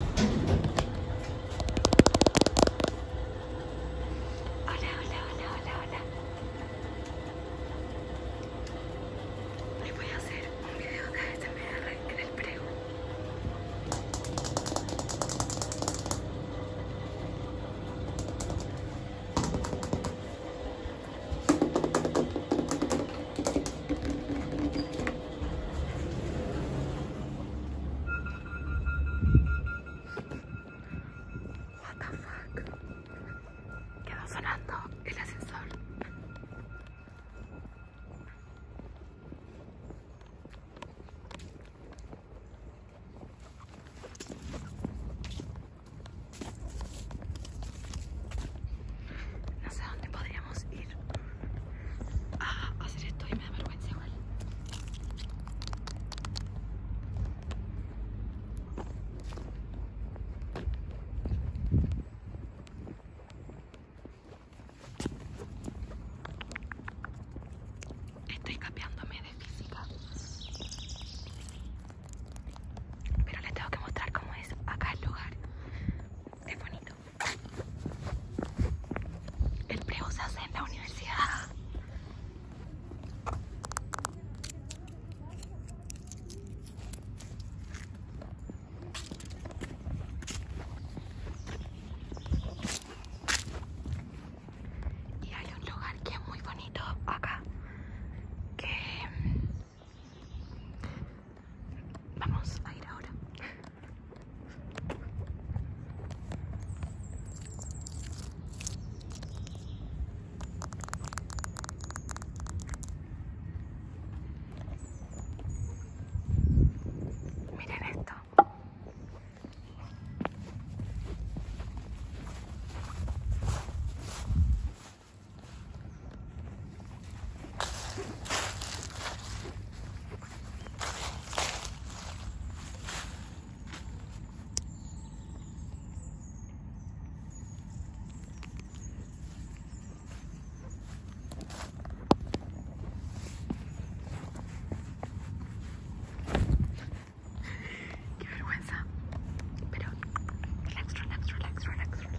Hola, hola, hola, hola, hola. Hoy voy a hacer un video de ASMR en el prego. What the fuck? Quedó sonando el ascensor. No sé dónde podríamos ir a ah, hacer esto y me da vergüenza igual. Estoy cambiándome de física. Pero les tengo que mostrar cómo es acá el lugar. Es bonito el prego se hace en la universidad. Y hay un lugar que es muy bonito acá, que Vamos a ir ahora. Miren esto. Qué vergüenza. Pero relax, relax, relax, relax, relax.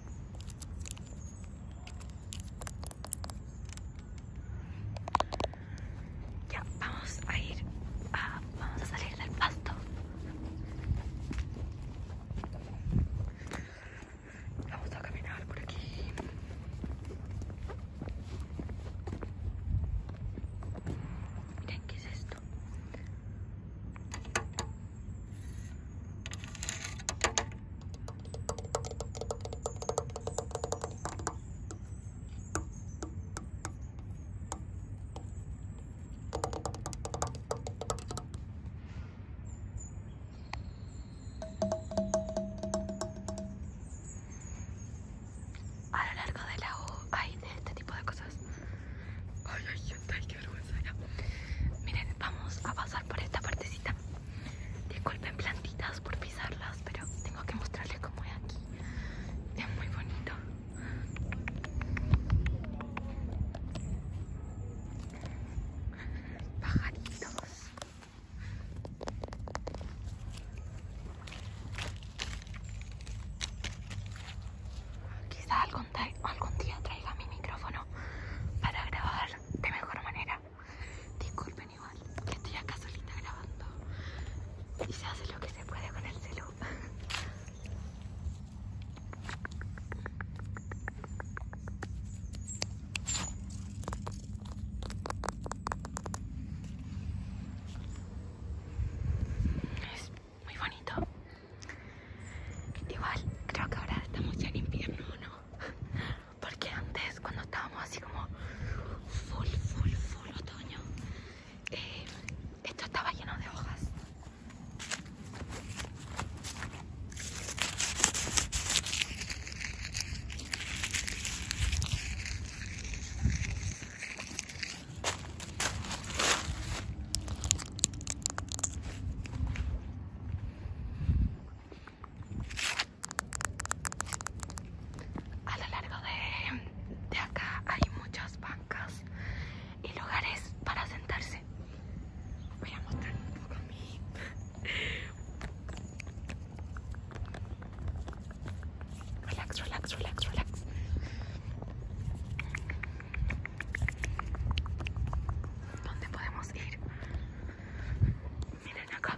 Ya, vamos a ir a, vamos a salir del pasto. Vamos a caminar por aquí. Miren, ¿qué es esto? a lo largo de la U hay de este tipo de cosas Ay, ay, ay, qué Miren, vamos a pasar por esta partecita. Disculpen plantitas por pisarlas, pero tengo que mostrarles cómo es aquí. Es muy bonito. Pajaritos. Quizá algo algún día traiga mi micrófono para grabar de mejor manera. Disculpen igual que estoy acá solita grabando y se hace lo que se puede con el celu muy bonito. Igual creo que ahora estamos ya en invierno, ¿no? Porque antes cuando estábamos así como full, full, full otoño, eh, esto estaba lleno de hojas. A lo largo de, acá hay muchas bancas y lugares para sentarse. Voy a mostrar un poco mi... Relax, relax, relax, relax. ¿Dónde podemos ir? Miren acá.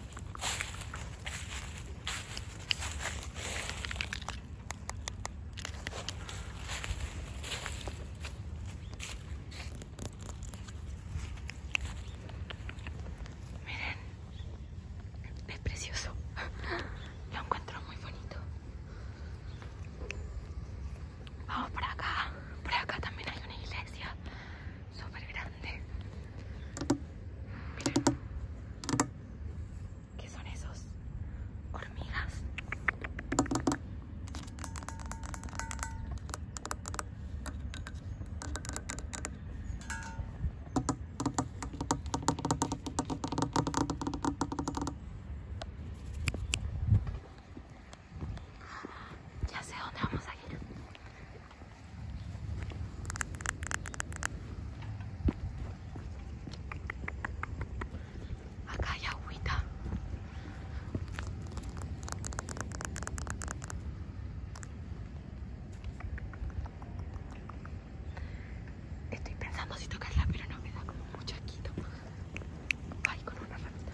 Miren, es precioso. Lo encuentro muy bonito. Vamos por acá. Por acá también hay una iglesia super grande. Miren. ¿Qué son esos? Hormigas. Ya sé dónde vamos a ir. Acá hay agüita. Estoy pensando si tocarla, pero no me da como mucho asquito. Ay, con una ramita.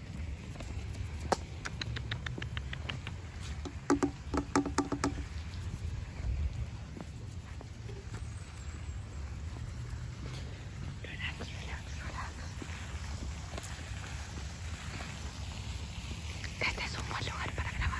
Este es un buen lugar para grabar.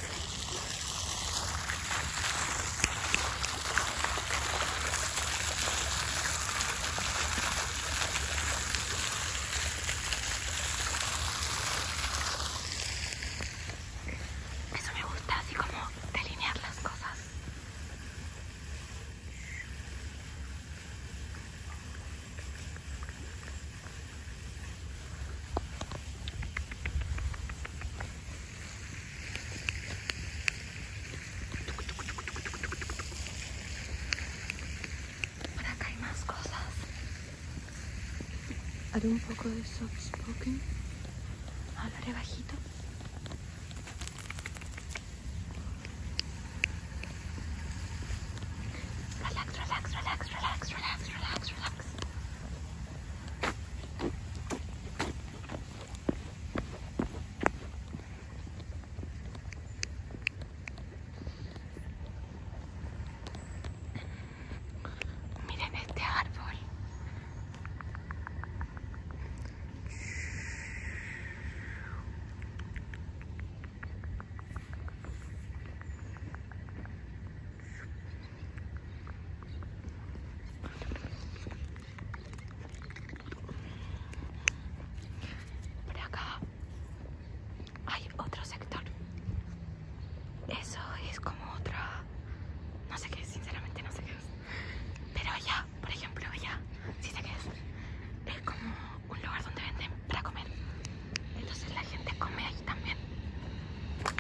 Eso me gusta, así como delinear las cosas. Por acá hay más cosas. Haré un poco de soft spoken. Hablaré bajito. Relax, relax, relax, relax, relax, relax, relax. Miren este árbol. Por acá hay otro sector. Eso es como otra... No sé qué sinceramente no sé qué es. Pero allá, por ejemplo, allá, si sé qué es. Es como un lugar donde venden para comer. Entonces la gente come allí también.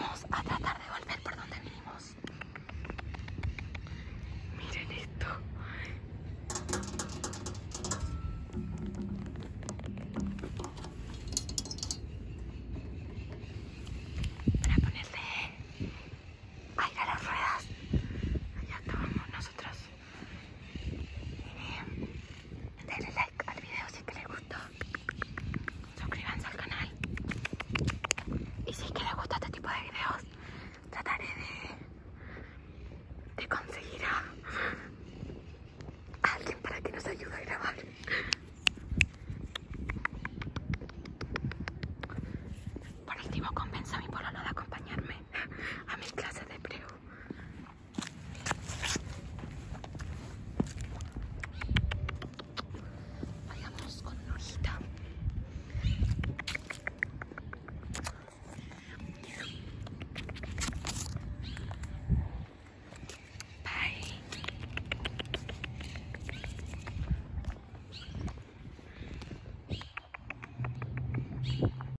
Vamos a tratar de volver por donde vinimos. Miren esto. Para ponerle aire a las ruedas. Allá estábamos nosotros. Denle like al video si es que les gustó. Suscríbanse al canal. Y si es que les gusta este tipo de videos, trataré de, conseguir a, alguien para que nos ayude a grabar. Por último, convenzo a mi pololo de acompañarme a mis clases de preu. Vayamos con una hojita. Bye.